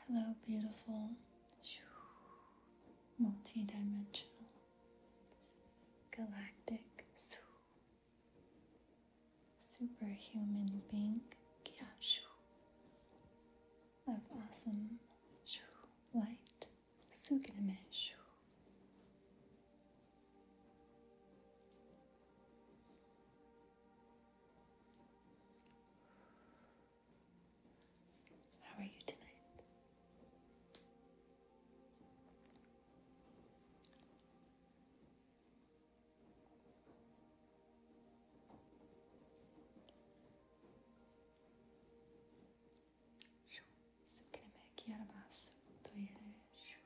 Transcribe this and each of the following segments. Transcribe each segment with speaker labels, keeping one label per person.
Speaker 1: Hello, beautiful, multidimensional, galactic, superhuman being of awesome light. How are you tonight? şu sık elime iki yarım az duyarım şu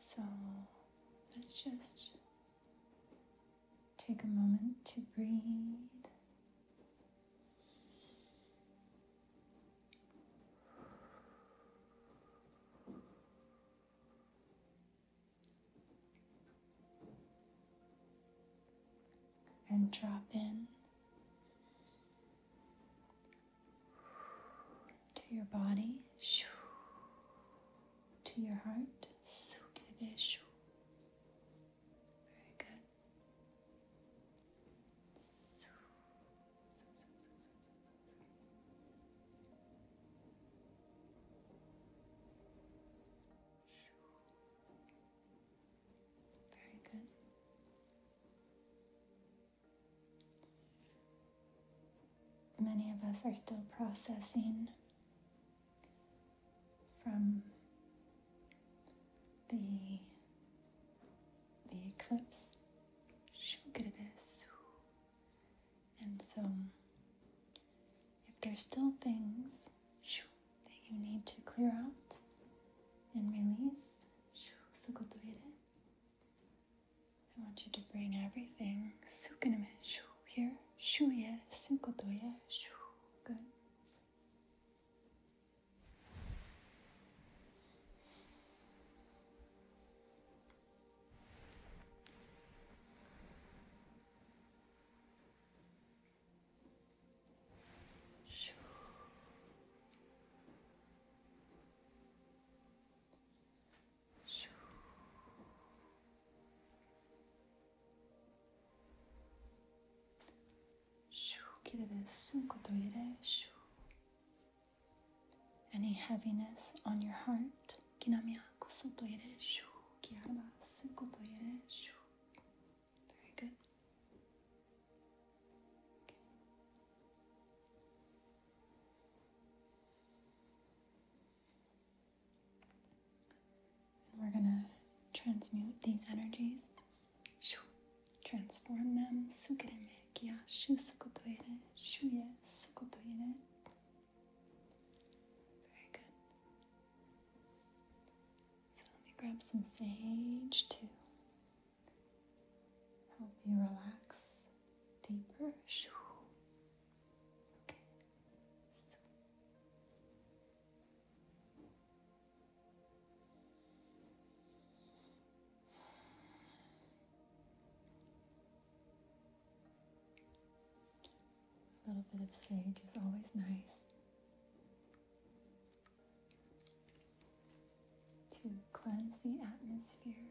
Speaker 1: so let's just take a moment to breathe and drop in to your body, to your heart. Very good. Very good. Many of us are still processing from the the eclipse. Eh, and so, if there's still things that you need to clear out and release, I want you to bring everything here. Good. Shoo. Shoo. Shoo. Give this Any heaviness on your heart? Kinamiako sotoireshu. Kiyamasu kotoireshu. Very good. we're going to transmute these energies. Transform them. Sukereme kiya shu sukotoire, shuye sukotoire, very good. So let me grab some sage to help you relax deeper. Okay. A little bit of sage is always nice. To cleanse the atmosphere.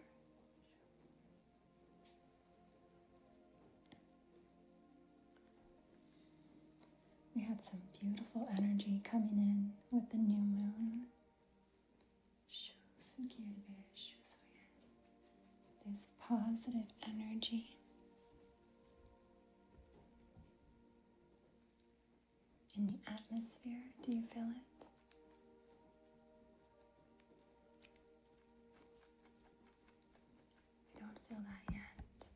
Speaker 1: We had some beautiful energy coming in with the new moon this positive energy in the atmosphere. Do you feel it? I don't feel that yet.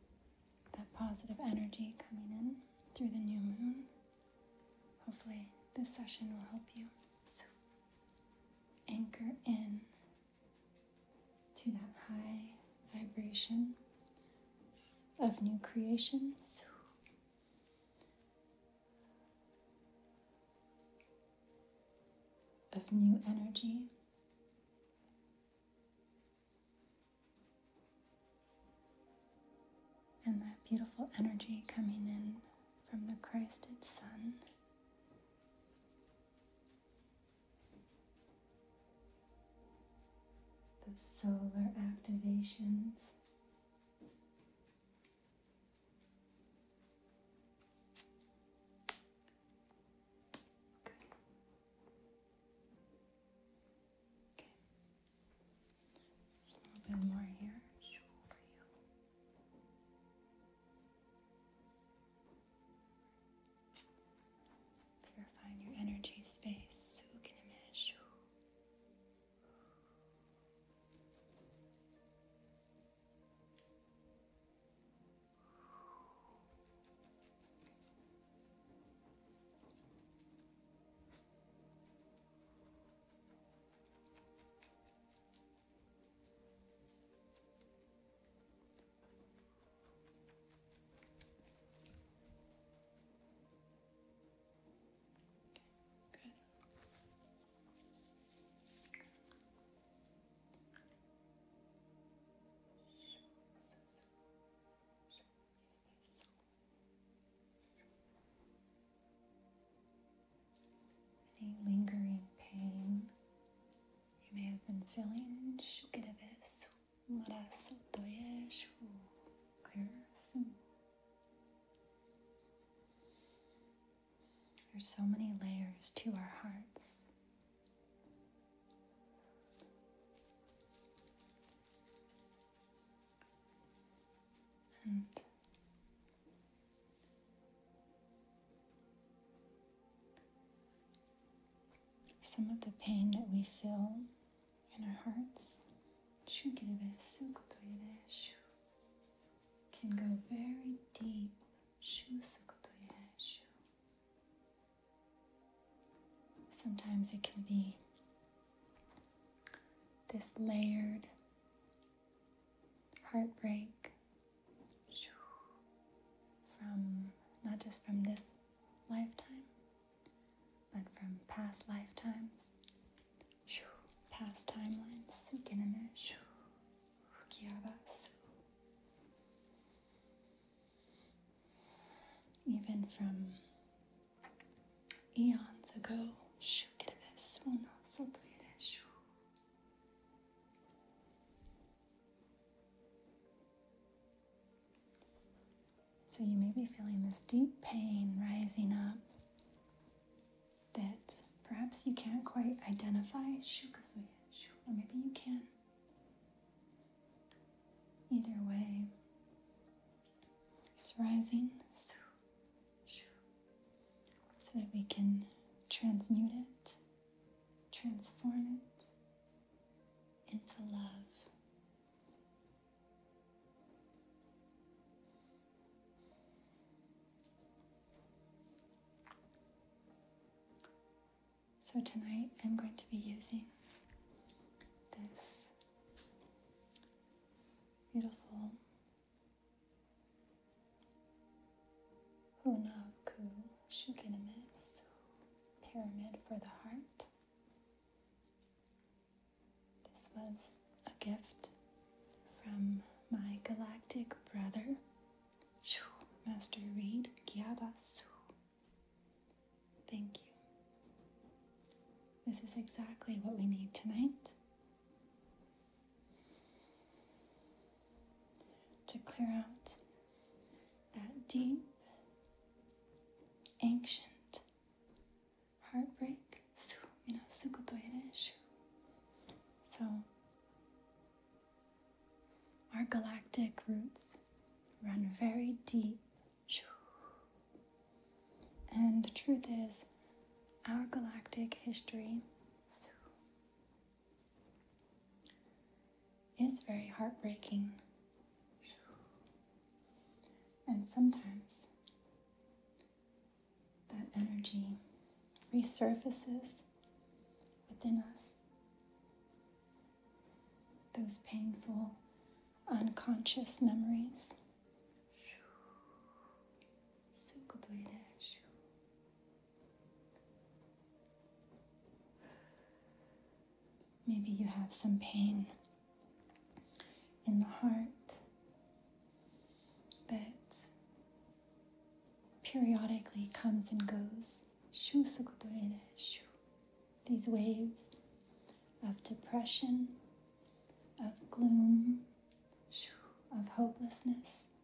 Speaker 1: That positive energy coming in through the new moon. Hopefully, this session will help you. So anchor in to that high vibration of new creations. Of new energy. And that beautiful energy coming in from the Christed Sun the solar activations. Okay. Okay. a little bit more here for you. Purifying your energy space. imagine? Any lingering pain you may have been feeling shukirabes, marasu, doyeshu, kurasu. There's so many layers to our hearts. Some of the pain that we feel in our hearts eh, eh, can go very deep. Eh, Sometimes it can be this layered heartbreak from not just from this lifetime, but from past lifetimes, past timelines, even from eons ago. So you may be feeling this deep pain rising up that perhaps you can't quite identify, or maybe you can. Either way, it's rising so that we can transmute it transform it into love. So tonight I'm going to be using this beautiful Honaku Shuginimitsu, Pyramid for the Heart. This was a gift from my galactic brother, Master Reed Gyabasu. Thank you. This is exactly what we need tonight to clear out that deep, ancient heartbreak. So, our galactic roots run very deep. And the truth is, our galactic history is very heartbreaking. And sometimes that energy resurfaces within us. Those painful, unconscious memories. Maybe you have some pain in the heart that periodically comes and goes. These waves of depression, of gloom, of hopelessness.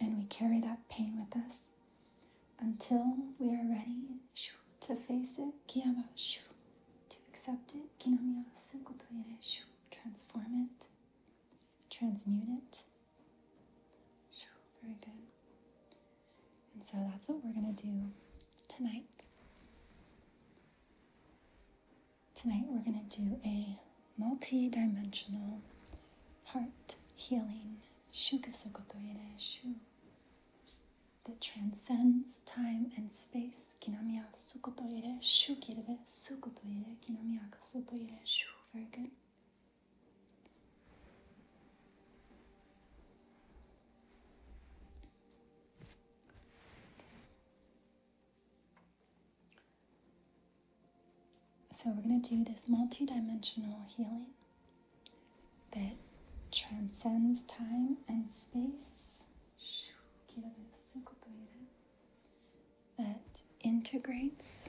Speaker 1: And we carry that pain with us until we are ready to face it, to accept it, transform it, transmute it. Very good. And so that's what we're going to do tonight. Tonight we're going to do a multi-dimensional heart healing shugasokotoire shu that transcends time and space kinamiya sukotoire shu kirebe sukotoire kinamiyaka sotoire shu very good so, we're going to do this multidimensional healing that transcends time and space, that integrates,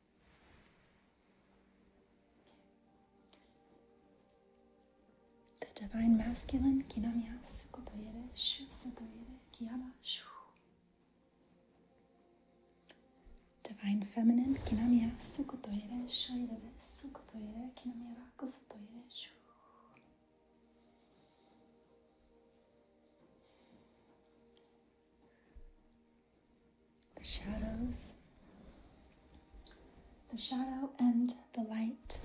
Speaker 1: The divine masculine, Kinamya Sukodoyere Shusodoyere shu. Divine feminine, Kinamya Sukodoyere Shoyere Sukodoyere Kinamya Rakusodoyere Shu the shadows, the shadow and the light.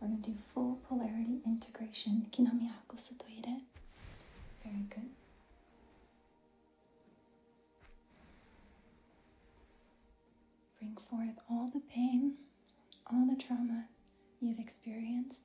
Speaker 1: We're going to do full polarity integration. Very good. Bring forth all the pain, all the trauma you've experienced.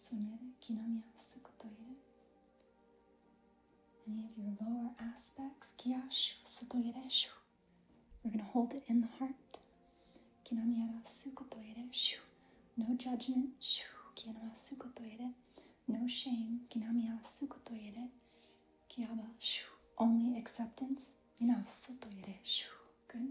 Speaker 1: sonere kinamiyasu kotoire. Any of your lower aspects, kiyashu sotoireshu. We're going to hold it in the heart. Kinamiyasu kotoireshu. No judgment, shu. Kinamiyasu kotoire. No shame, kinamiyasu kotoire. Kiyaba, shu. Only acceptance, minasu toireshu. Good.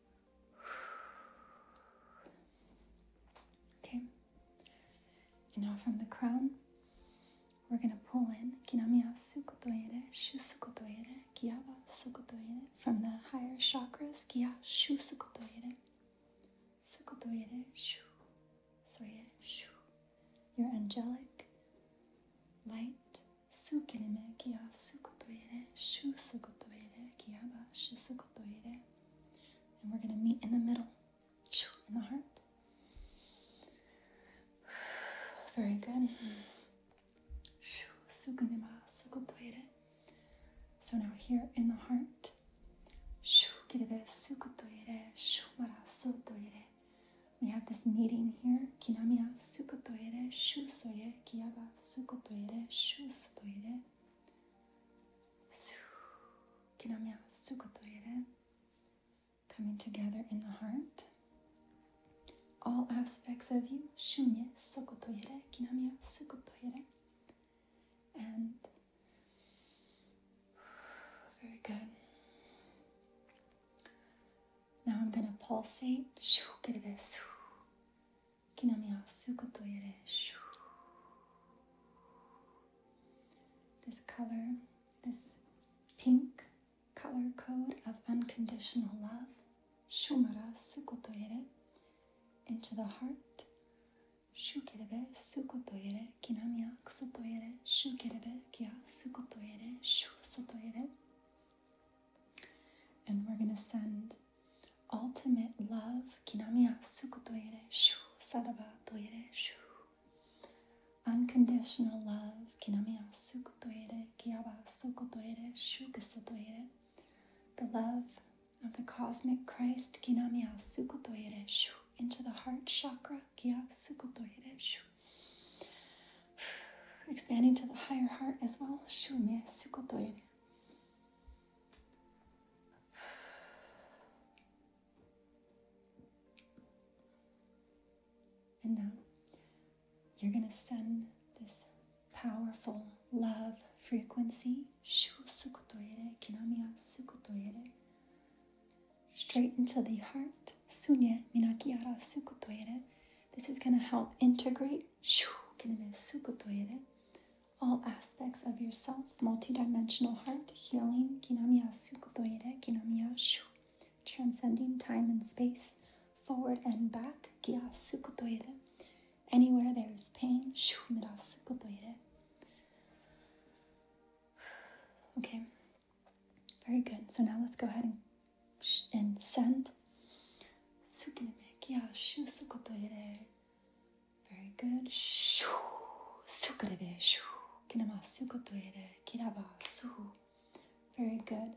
Speaker 1: Okay. now from the crown, we're going to pull in Kinamiya Sukotoere, Shu Sukotoere, Kiyaba Sukotoere. From the higher chakras, Kiya Shu Sukotoere, Sukotoere, Shu, Soere, Shu. Your angelic light, Sukirime, Kiya Sukotoere, Shu Sukotoere, Kiyaba Shu and we're going to meet in the middle, in the heart. Very good. So now here in the heart. We have this meeting here coming together in the heart. All aspects of you, Shunye Sokotoire, Kinamya Sukotoire. And very good. Now I'm going to pulsate. This color, this pink color code of unconditional love, shumara sukutoire. into the heart, shukerebe sukotoere, kinamia kusotoere, shukerebe kia sukotoere, shusotoere. And we're going to send ultimate love, kinamiya sukutoire. Shu, Shu. unconditional love, kinamiya sukutoire. sukutoire. Shu, the love of the cosmic Christ, kinamiya sukutoire. Shu, into the heart chakra, sukutoire. Shu. expanding to the higher heart as well, Shu sukutoire. And now you're going to send this powerful love frequency straight into the heart. Sunye minakiara sukutoire. This is going to help integrate all aspects of yourself, multidimensional heart healing, kinamiyasu kotoire, kinamiyashu, transcending time and space, forward and back, kiyasu kotoire. Anywhere there is pain, shu mirasu kotoire. Okay, very good. So now let's go ahead and, and send sukiname kiyashu sukotoire very good. Shoo. Sukrebe. Shoo. Kinamasukotoire. Kirabasu. Very good.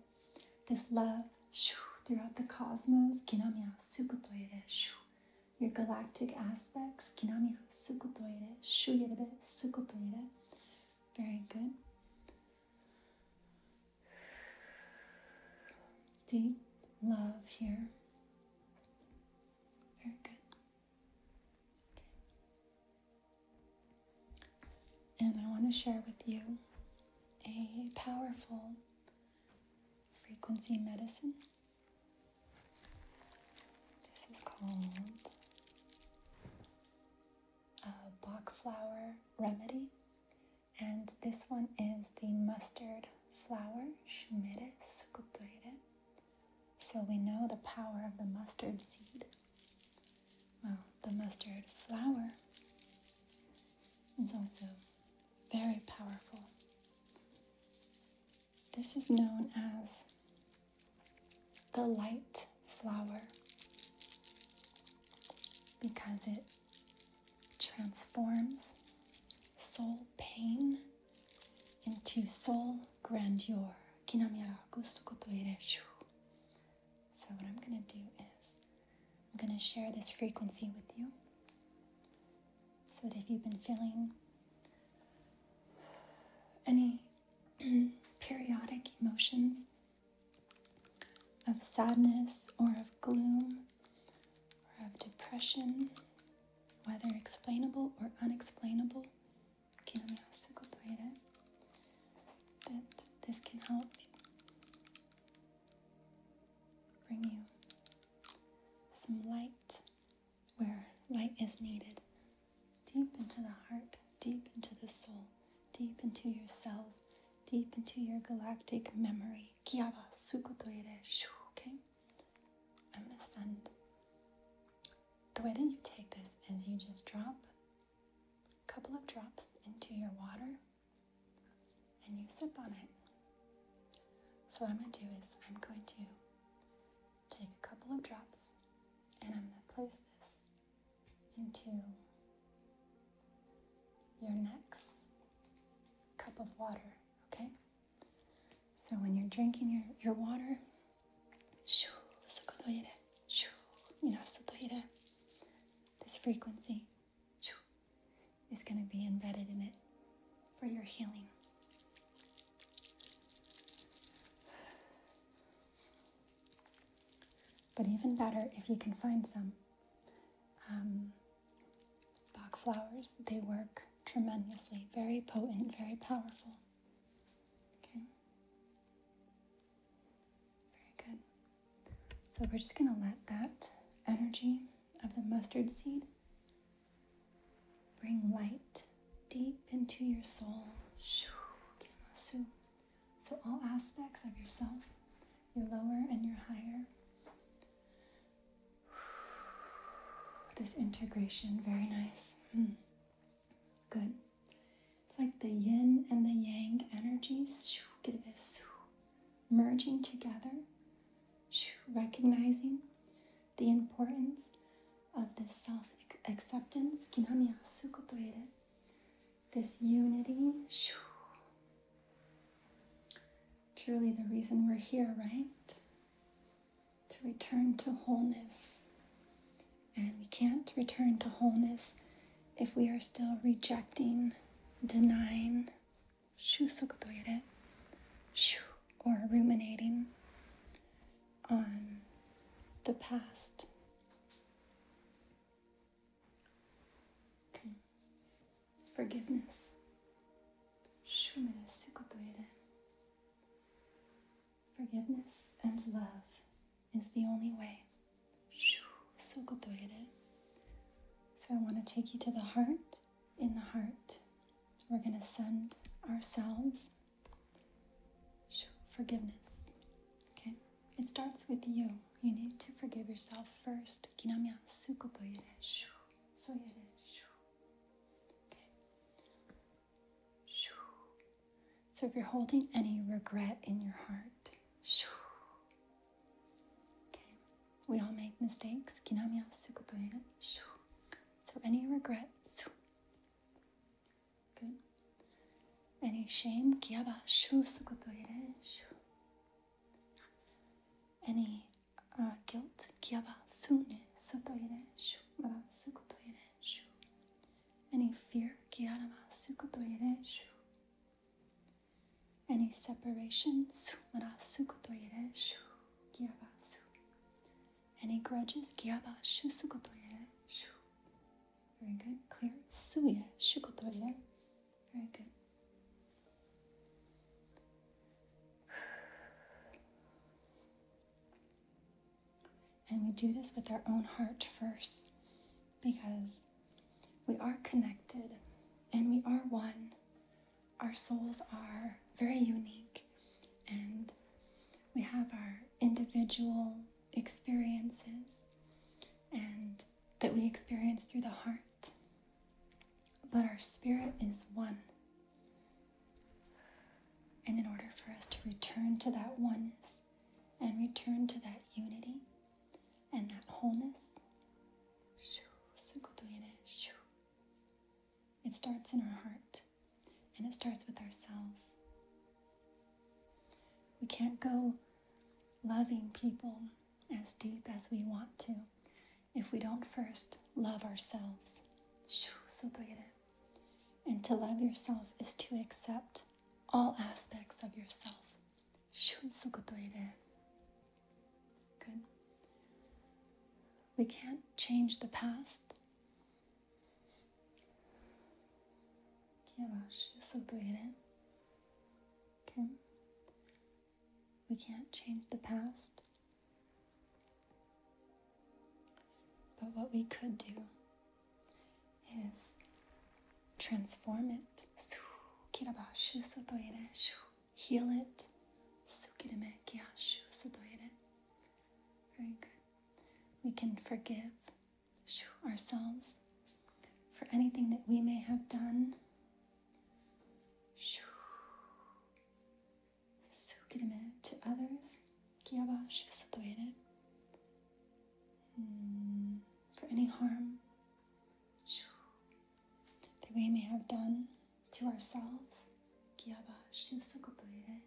Speaker 1: This love. Shoo. Throughout the cosmos. Kinamya sukotoire. Shoo. Your galactic aspects. Kinamya sukotoire. Shuyerebe sukotoire. Very good. Deep love here. Very good. And I want to share with you a powerful frequency medicine. This is called a Bach flower remedy and this one is the mustard flower, Shumire Sukutoire. So we know the power of the mustard seed. Well, the mustard flower is also very powerful. This is known as the light flower because it transforms soul pain into soul grandeur. So, what I'm going to do is, I'm going to share this frequency with you so that if you've been feeling any periodic emotions of sadness or of gloom, of depression, whether explainable or unexplainable, that this can help bring you some light where light is needed, deep into the heart, deep into the soul, deep into your cells, deep into your galactic memory. Okay? I'm gonna send. The way that you take this is you just drop a couple of drops into your water and you sip on it. So, what I'm gonna do is I'm going to take a couple of drops and I'm gonna place this into your next cup of water, okay? So when you're drinking your, your water, this frequency is going to be embedded in it for your healing. But even better if you can find some. Um, Bach flowers, they work tremendously, very potent, very powerful. Okay? Very good. So we're just going to let that energy of the mustard seed bring light deep into your soul. So all aspects of yourself you're lower and you're higher. This integration, very nice. Hmm. Good. It's like the yin and the yang energies merging together, recognizing the importance of this self acceptance, this unity, Truly, the reason we're here, right? To return to wholeness. And we can't return to wholeness if we are still rejecting, denying, or ruminating on the past forgiveness. Forgiveness and love is the only way. So I want to take you to the heart. In the heart, we're going to send ourselves forgiveness. Okay? It starts with you you need to forgive yourself first. So if you're holding any regret in your heart, okay, we all make mistakes. So any regret, good. Any shame, 아니 아껴트 기아바수네 소토이레슈 마라수코토이레슈 Any fear 기아라마수코토이레슈 Any separation 수마라수코토이레슈 기아바수 Any grudges 기아바슈수코토이레슈 Very good. Clear. 수예 슈코토이레 Very good. And we do this with our own heart first because we are connected and we are one. Our souls are very unique and we have our individual experiences and that we experience through the heart but our spirit is one. And in order for us to return to that oneness and return to that unity and that wholeness, it starts in our heart and it starts with ourselves. We can't go loving people as deep as we want to if we don't first love ourselves. And to love yourself is to accept all aspects of yourself. Good. We can't change the past. Okay. We can't change the past. But what we could do is transform it. Heal it. Very good. We can forgive ourselves for anything that we may have done Soaking him out to others. Kia wa shivasatoere. For any harm that we may have done to ourselves. Kia wa shivasatoere.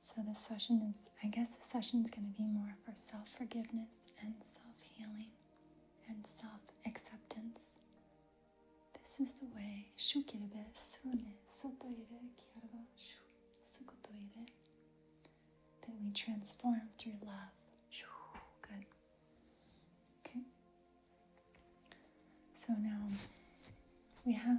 Speaker 1: So this session is, I guess the session is going to be more for self-forgiveness and self-healing and self-acceptance. This is the way. That we transform through love. Good. Okay. So now we have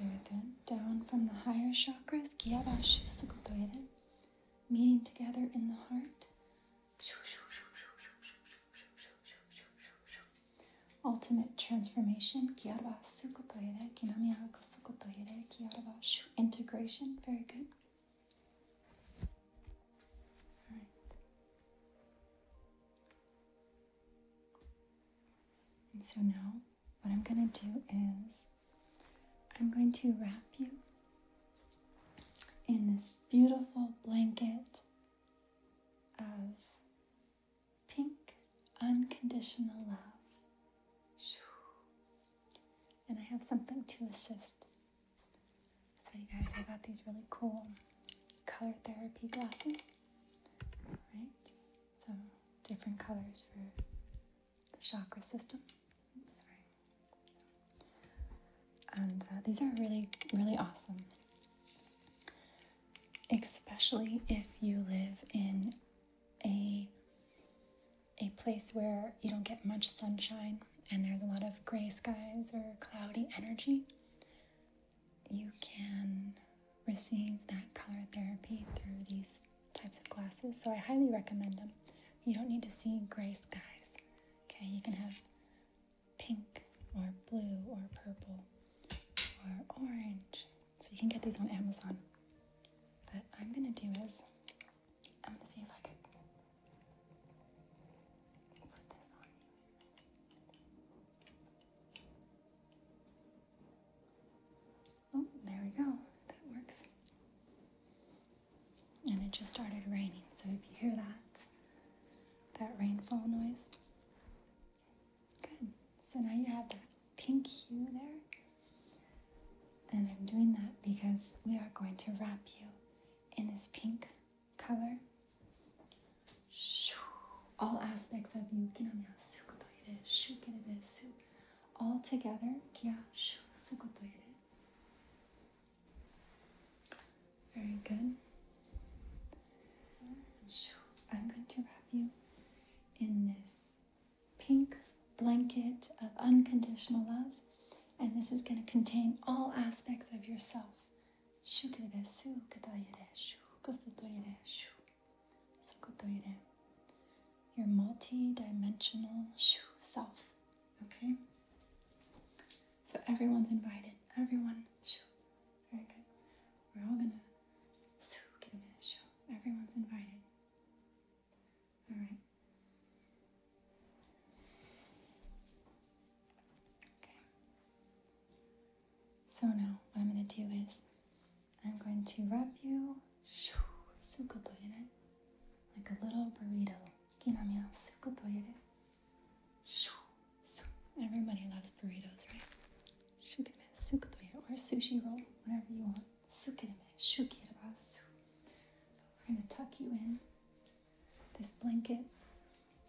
Speaker 1: Very good. Down from the higher chakras, meeting together in the heart. Ultimate transformation, integration. Very good. All right. And so now what I'm going to do is I'm going to wrap you in this beautiful blanket of pink unconditional love. And I have something to assist. So, you guys, I got these really cool color therapy glasses. Right? So, different colors for the chakra system. And uh, these are really, really awesome. Especially if you live in a, a place where you don't get much sunshine and there's a lot of gray skies or cloudy energy, you can receive that color therapy through these types of glasses, so I highly recommend them. You don't need to see gray skies. Okay, you can have pink or blue or purple or orange. So you can get these on Amazon. What I'm gonna do is I'm gonna see if I could put this on Oh, there we go. That works. And it just started raining, so if you hear that, that rainfall noise. Good. So now you have that pink hue there. And I'm doing that because we are going to wrap you in this pink color. All aspects of you all together very good I'm going to wrap you in this pink blanket of unconditional love and this is going to contain all aspects of yourself Sokotoire. Your multi-dimensional self. Okay? So everyone's invited. Everyone. Very good. We're all gonna get a minute. Everyone's invited. Alright. Okay. So now what I'm gonna do is I'm going to wrap you. 수고도이래. Like a little burrito. 끼나면 수고도이래. Everybody loves burritos, right? 슈기르메 수고도이래. Or sushi roll, whatever you want. 수기르메 슈기르바수. We're going to tuck you in. This blanket,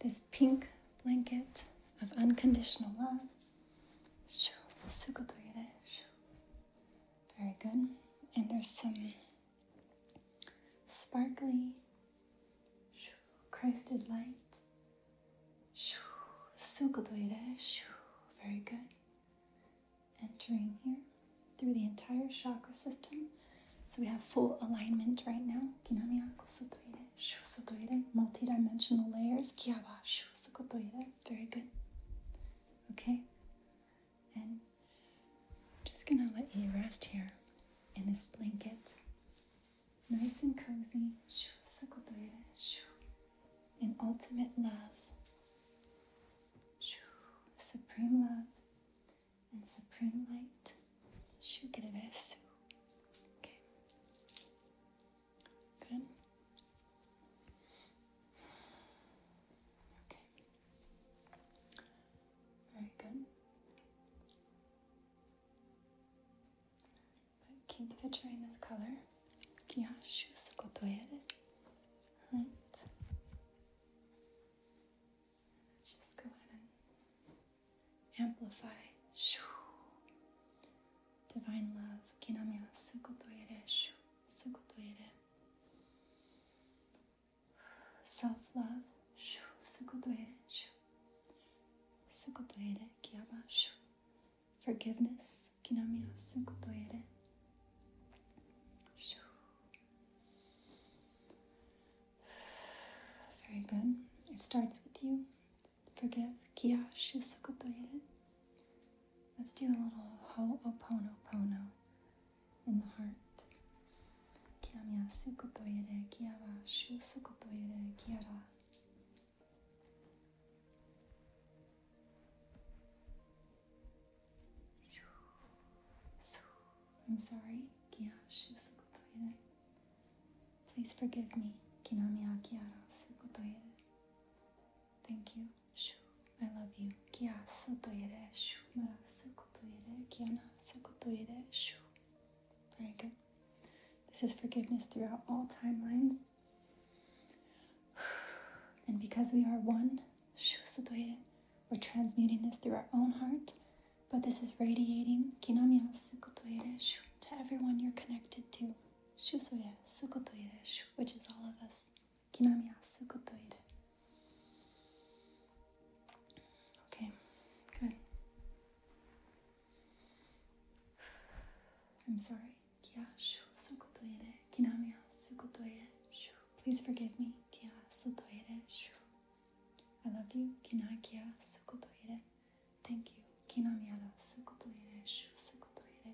Speaker 1: this pink blanket of unconditional love. Very good. And there's some sparkly crested light. Very good. Entering here through the entire chakra system. So we have full alignment right now. Multi-dimensional layers very good. Okay, and I'm just gonna let you rest here in this blanket, nice and cozy. In ultimate love, supreme love, and supreme light. Okay. Good. Okay. Very good. keep picturing this color. Right. Let's just go ahead and amplify. Divine love self-love そういうことを言えるそういうことを言える気やば forgiveness 気なみはそういうことを言える Very good. It starts with you. Forgive. Kiya shusukoto ere. Let's do a little ho'oponopono in the heart. Kiramya sukutoyere kiara shu sukutoyere kiara. I'm sorry, Please forgive me, kinamiya kiara sukutoyere. Thank you. I love you. Kia sotoire shu. Sukutoire, kiana sukutoire shu. Very good. This is forgiveness throughout all timelines. And because we are one, shu sotoire, we're transmuting this through our own heart. But this is radiating kinamiya sukutoire shu to everyone you're connected to shusoya sukotoire, which is all of us. Kinamiya sukotoire. Okay, good. I'm sorry. Kia shu sukotoire, kinamiya sukotoire, shu. Please forgive me. Kia sukotoire, shu. I love you. Kinai kia sukotoire. Thank you. Kinamiya sukotoire, shu sukotoire,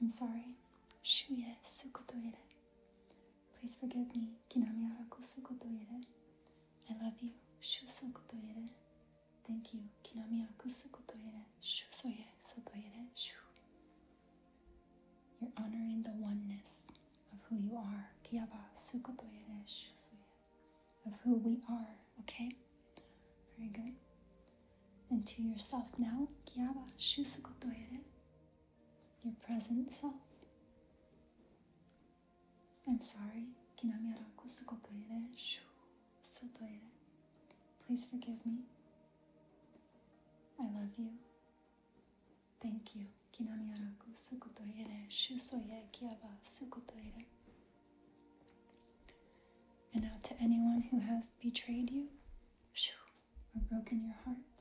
Speaker 1: I'm sorry. Shuye sukotoire. Please forgive me. Kinami araku sukotoire. I love you. Shu sukotoire. Thank you. Kinami araku sukotoire. Shu soye sotoire. Shu. You're honoring the oneness of who you are. Kiyaba sukotoire. Shu soye. Of who we are, okay? Very good. And to yourself now, Kiyaba shu sukotoire your present self. I'm sorry que na minha Please forgive me. I love you. Thank you. Kinamiaraku sukutoire shusoye kiaba sukutoire. And now to anyone who has betrayed you or broken your heart,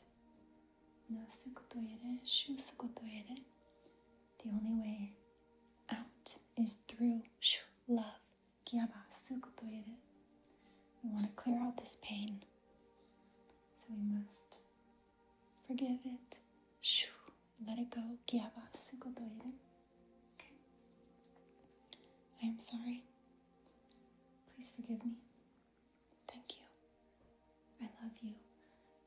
Speaker 1: Nasukotoire, shusukotoire. The only way out is through shu, love. Gyaba, sukotoire. We want to clear out this pain. So we must forgive it. Shu, let it go. Gyaba, sukotoire. Okay. I am sorry. Please forgive me. Thank you. I love you.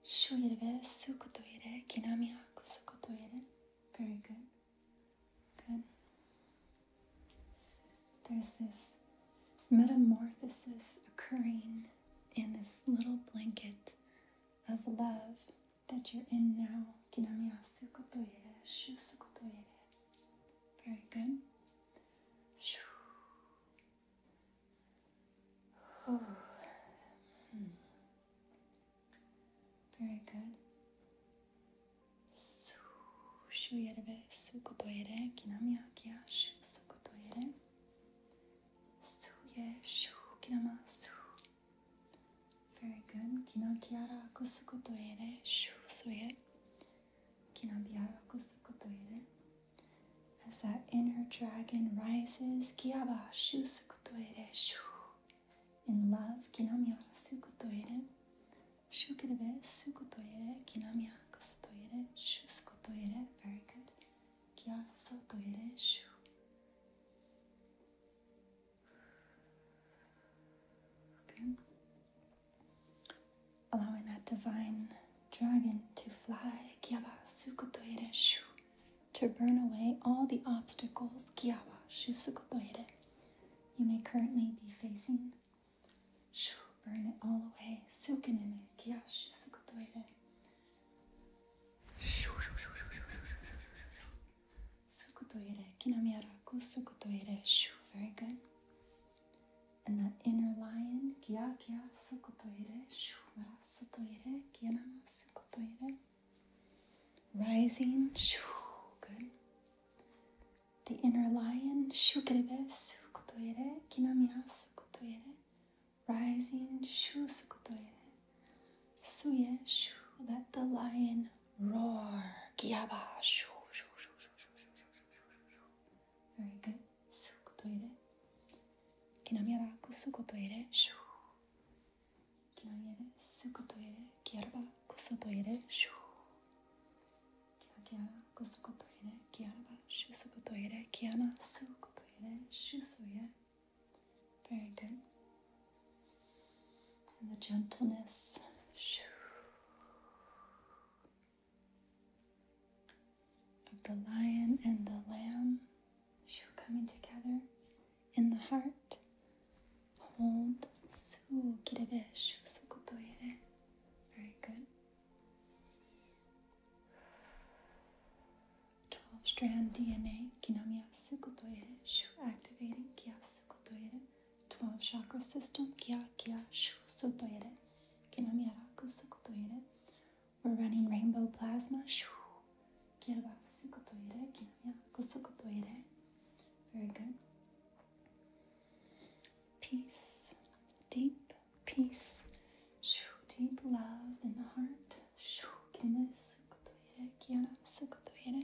Speaker 1: Shuire sukutoire kinami haku Very good. Good. There's this metamorphosis occurring in this little blanket of love that you're in now. Kinami haku shu sukutoire. Very good hmm. Very good. Su yerbe sukutoire kinami akia shu sukutoire. Su ye shu kinama su. Very good. Kino kiara kusukutoire shu suye. As that inner dragon rises, Kiaba Shusukutoire Shu. In love, Kinamya shu Shukurebe Sukutoire, Kinamya Kosutoire, Shusukutoire. Very good. Kia Shu. Good allowing that divine dragon to fly to burn away all the obstacles you may currently be facing. Burn it all away. Very good. And that inner lion, Kya Kya Sukotoire, Shumara Sotoire, Kyanama Sukotoire. Rising, shoo, good. The inner lion, Shukerebe Sukotoire, Kinamia Sukotoire. Rising, Shu Sukotoire. Suye, Shu, let the lion roar, Kyaba Shu. Very good. Sukutoire. Kinamiara kusukotoire. Shu. Kinamiere sukotoire. Kiarba kusotoire. Shu. Kinakiara kusukotoire. Kiarba shusukotoire. Kiana sukotoire. Shusuye. Very good. And the gentleness. Shu of the lion and the lamb coming together in the heart. Hold eh? eh? Very good. Twelve strand DNA, kinomiya sukotoere, eh? shu activating, kia sukotoere. 12 chakra system, kya kya shu sotoire, kinamyaraku sukutoire. We're running rainbow plasma, shu, kyaba sukutoire, kinamyaraku sukutoire. Very good. Peace, deep peace, shu, deep love in the heart, shu, kinamyaraku sukutoire, kiana sukutoire.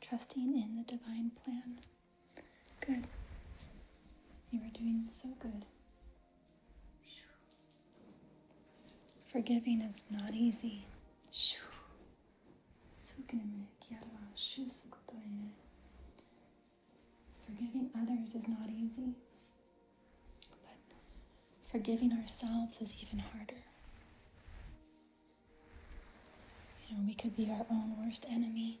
Speaker 1: Trusting in the divine plan. Good. You are doing so good. Forgiving is not easy. Forgiving others is not easy, but forgiving ourselves is even harder. we could be our own worst enemy.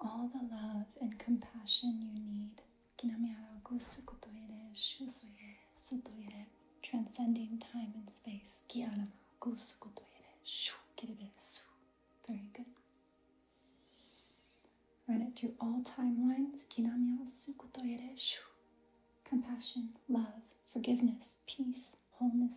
Speaker 1: all the love and compassion you need. Transcending time and space. Very good. Run it through all timelines. Compassion, love, forgiveness, peace, wholeness,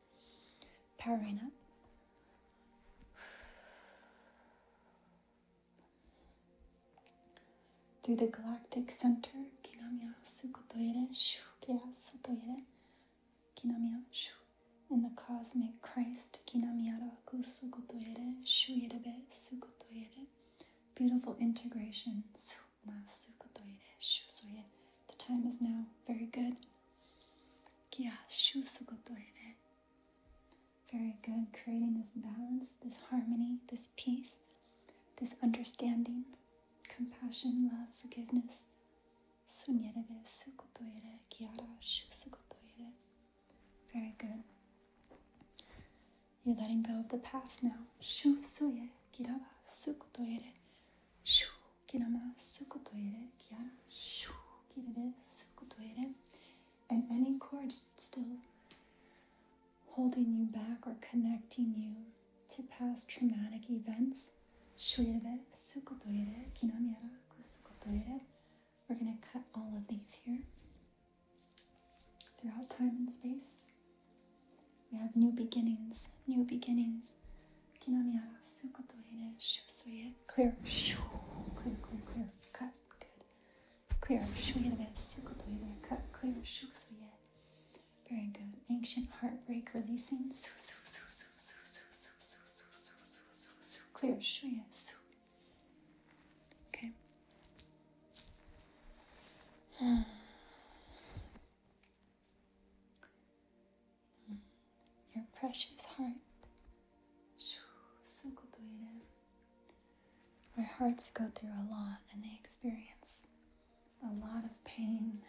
Speaker 1: Powering up. Through the galactic center, Kinamiya Sukutoire, Shukya Sotoire, Kinamiya Shu. In the cosmic Christ, Kinamiyara Kusukutoire, Shuirebe Sukutoire. Beautiful integration. The time is now. Very good. Very good. Creating this balance, this harmony, this peace, this understanding, compassion, love, forgiveness. Very good. You're letting go of the past now kinama sukutoire kia shu kiride sukutoire. And any cords still holding you back or connecting you to past traumatic events, shuire sukutoire kinamiara kusukutoire. We're going to cut all of these here throughout time and space. We have new beginnings, new beginnings. Clear, clear, clear, clear. Cut, good. Clear, cut, clear, Very good. Ancient heartbreak releasing. Clear, Okay. Your precious heart. Our hearts go through a lot and they experience a lot of pain.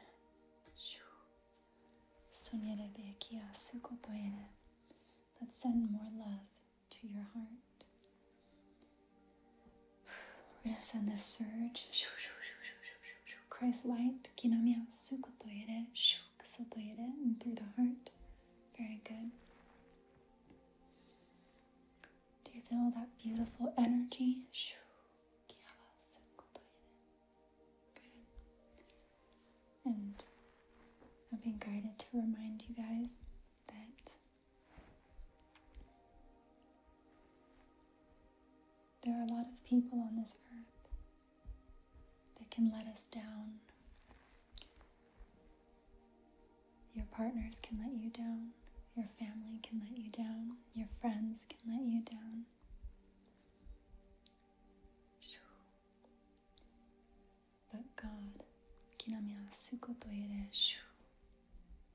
Speaker 1: Let's send more love to your heart. We're going to send this surge Christ light, kinamiyasu kotoyere, shu kusotoyere, and through the heart. Very good. Do you feel that beautiful energy? Shu Good. And I've been guided to remind you guys that there are a lot of people on this earth that can let us down. Your partners can let you down. Your family can let you down. Your friends can let you down. But God,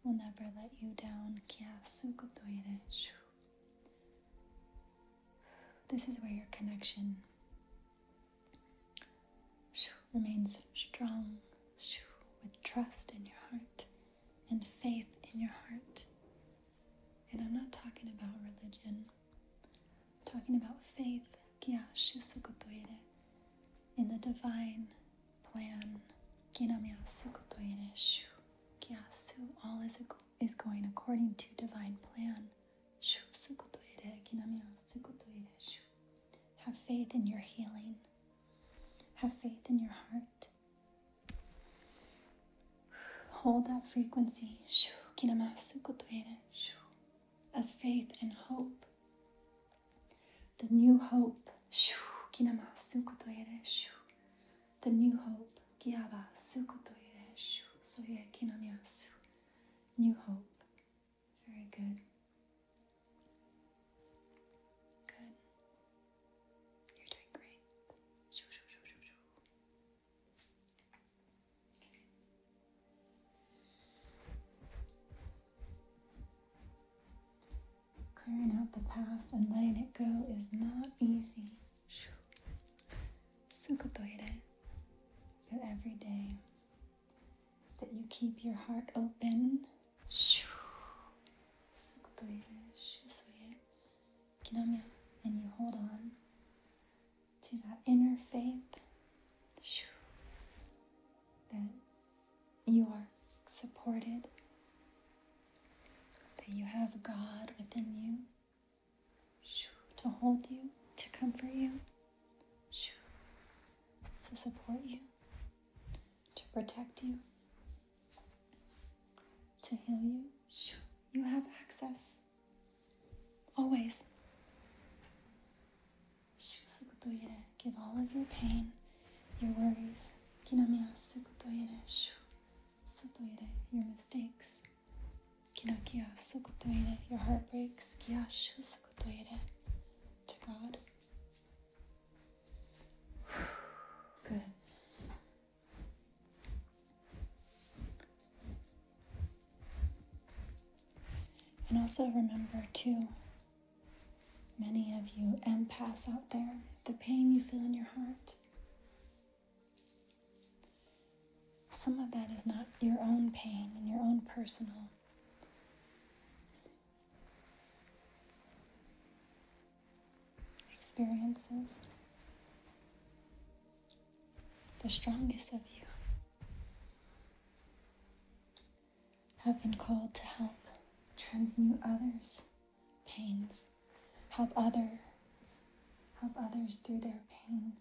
Speaker 1: will never let you down. This is where your connection remains strong with trust in your heart and faith in your heart. And I'm not talking about religion. I'm talking about faith in the divine plan. Kyasu, all is, is going according to divine plan. Have faith in your healing. Have faith in your heart. Hold that frequency of faith and hope. The new hope the new hope. New hope. Very good. Good. You're doing great. Clearing out the past and letting it go is not easy. Sukotoire. But every day that you keep your heart open, and you hold on to that inner faith that you are supported that you have God within you to hold you, to comfort you, to support you, to protect you, to heal you. You have access always. Give all of your pain, your worries. Sotoire, your mistakes. kia sukotoire, your heartbreaks. Kiyashu sukotoire, to God. Good. And also remember, too, many of you empaths out there, the pain you feel in your heart some of that is not your own pain and your own personal. Experiences. The strongest of you have been called to help transmute others pains. Help others. Help others through their pain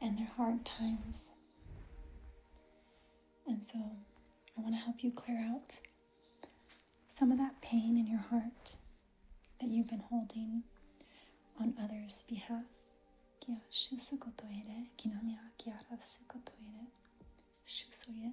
Speaker 1: and their hard times. And so I want to help you clear out some of that pain in your heart that you've been holding on others' behalf. Shusukotoire, kinamia kiara sukotoire, shusoye.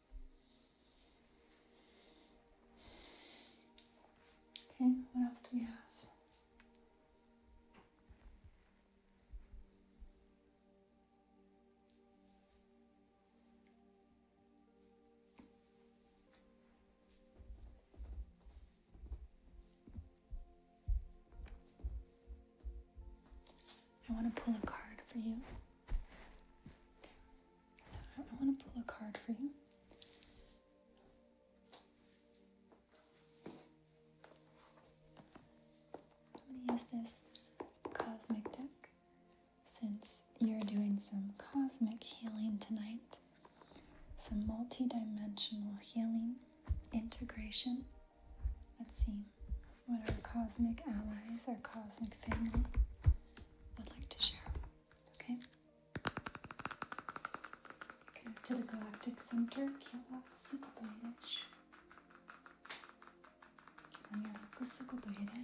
Speaker 1: Okay, what else do we have? I want to pull a card for you. I want to pull a card for you. I'm use this cosmic deck since you're doing some cosmic healing tonight, some multi dimensional healing, integration. Let's see what our cosmic allies, our cosmic family i would like to share. Okay? Go to the Galactic Center, Kielak-Sukhobaidish. On your local Sukhobaidi.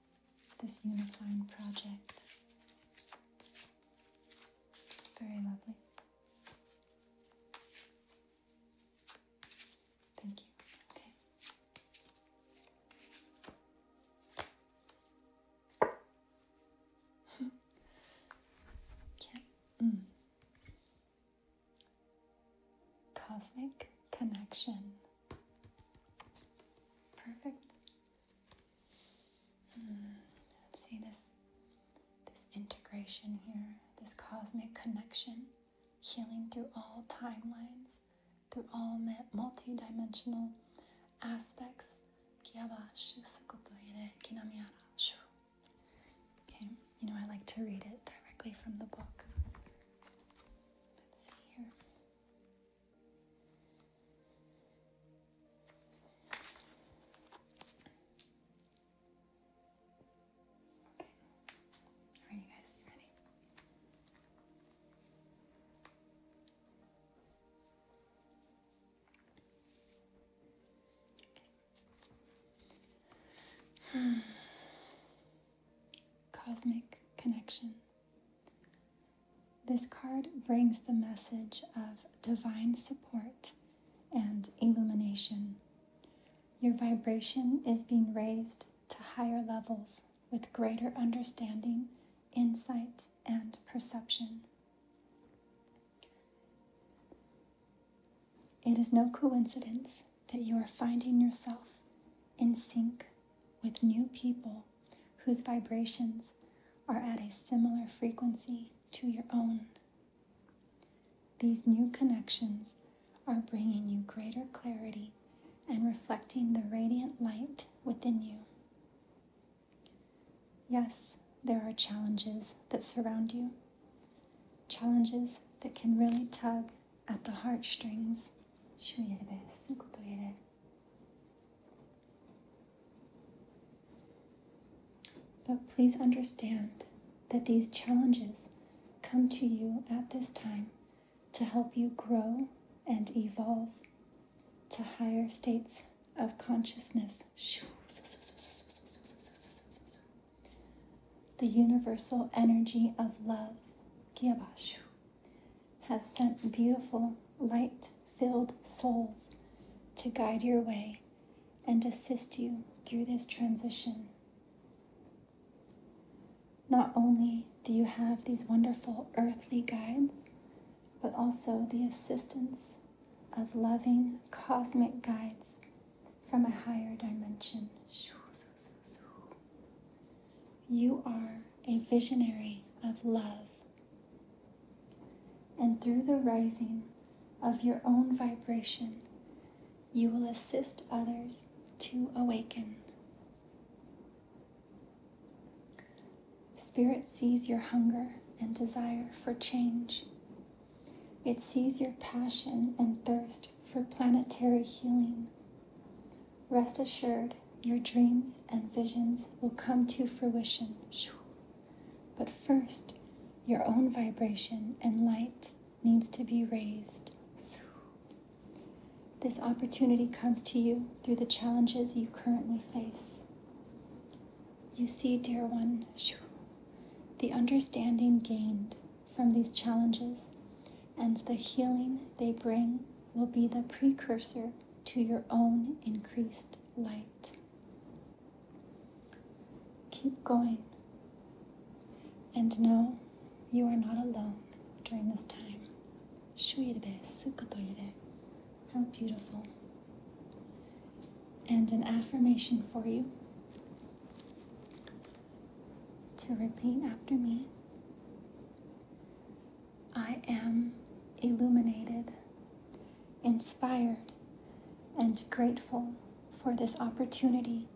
Speaker 1: this Unifying project. Very lovely. Thank you. Okay. Can mm. Cosmic connection. Perfect. Hmm, see this this integration here, this cosmic connection, healing through all timelines, through all multi-dimensional aspects. Okay, you know I like to read it directly from the book. Let's see here. Are you guys ready? Cosmic connection. This card brings the message of divine support and illumination. Your vibration is being raised to higher levels with greater understanding, insight, and perception. It is no coincidence that you are finding yourself in sync with new people whose vibrations are at a similar frequency to your own. These new connections are bringing you greater clarity and reflecting the radiant light within you. Yes, there are challenges that surround you, challenges that can really tug at the heartstrings. But please understand that these challenges come to you at this time to help you grow and evolve to higher states of consciousness. The universal energy of love has sent beautiful, light filled souls to guide your way and assist you through this transition. Not only do you have these wonderful earthly guides, but also the assistance of loving cosmic guides from a higher dimension. You are a visionary of love. And through the rising of your own vibration, you will assist others to awaken. Spirit sees your hunger and desire for change. It sees your passion and thirst for planetary healing. Rest assured, your dreams and visions will come to fruition. But first, your own vibration and light needs to be raised. This opportunity comes to you through the challenges you currently face. You see, dear one, the understanding gained from these challenges and the healing they bring will be the precursor to your own increased light. Keep going and know you are not alone during this time. How beautiful. And an affirmation for you to repeat after me. I am illuminated, inspired, and grateful for this opportunity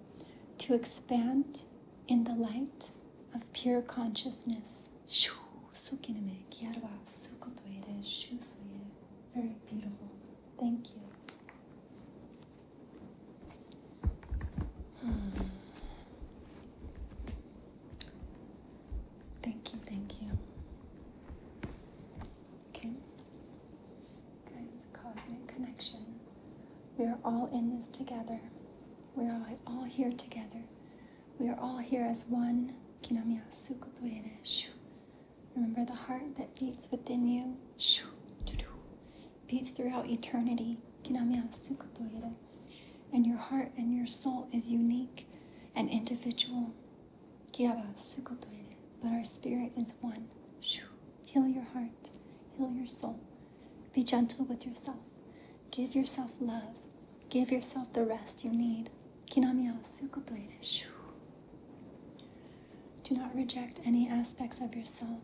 Speaker 1: to expand in the light of pure consciousness. Very beautiful. Thank you. Hmm. Thank you, thank you. Okay. Guys, cosmic connection. We are all in this together. We are all here together. We are all here as one. Remember the heart that beats within you beats throughout eternity and your heart and your soul is unique and individual. But our spirit is one. Heal your heart, heal your soul. Be gentle with yourself. Give yourself love. Give yourself the rest you need. Do not reject any aspects of yourself.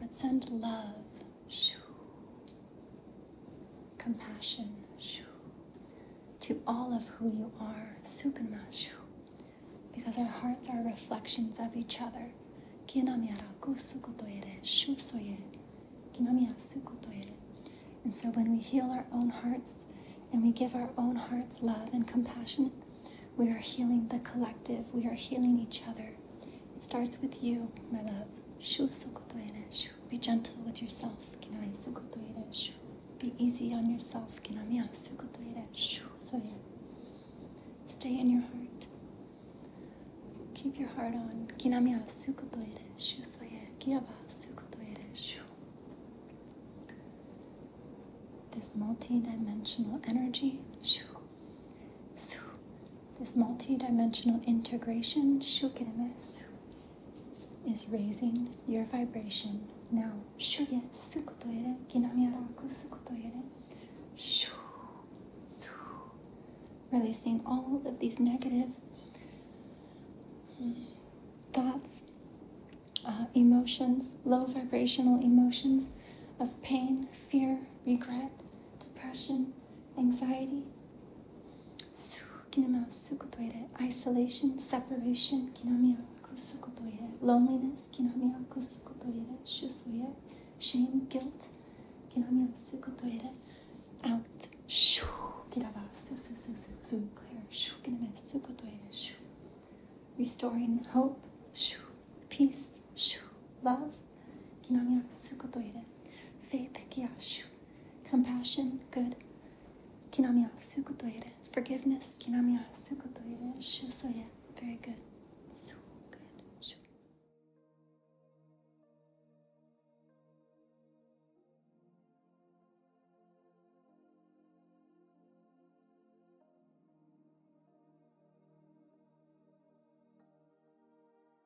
Speaker 1: But send love shoo. compassion shoo. to all of who you are, Sukunma, shoo. because our hearts are reflections of each other. And so when we heal our own hearts and we give our own hearts love and compassion, we are healing the collective, we are healing each other. It starts with you, my love. Shu shu. Be gentle with yourself. Kinai shu. Be easy on yourself. Kinamiya shu. Stay in your heart. Keep your heart on. Kinamiya shu soye. Kiyaba shu. This multi-dimensional energy. Shu so, This multi-dimensional integration is raising your vibration. Now, releasing all of these negative hmm, thoughts, uh, emotions, low vibrational emotions of pain, fear, regret, depression, anxiety, isolation, separation, loneliness, shame, guilt, out. Restoring hope, peace, love faith kiyashu, compassion good, kinamiya sukutoire, forgiveness kinamiya sukutoire, shusoye, very good. So good. Shu.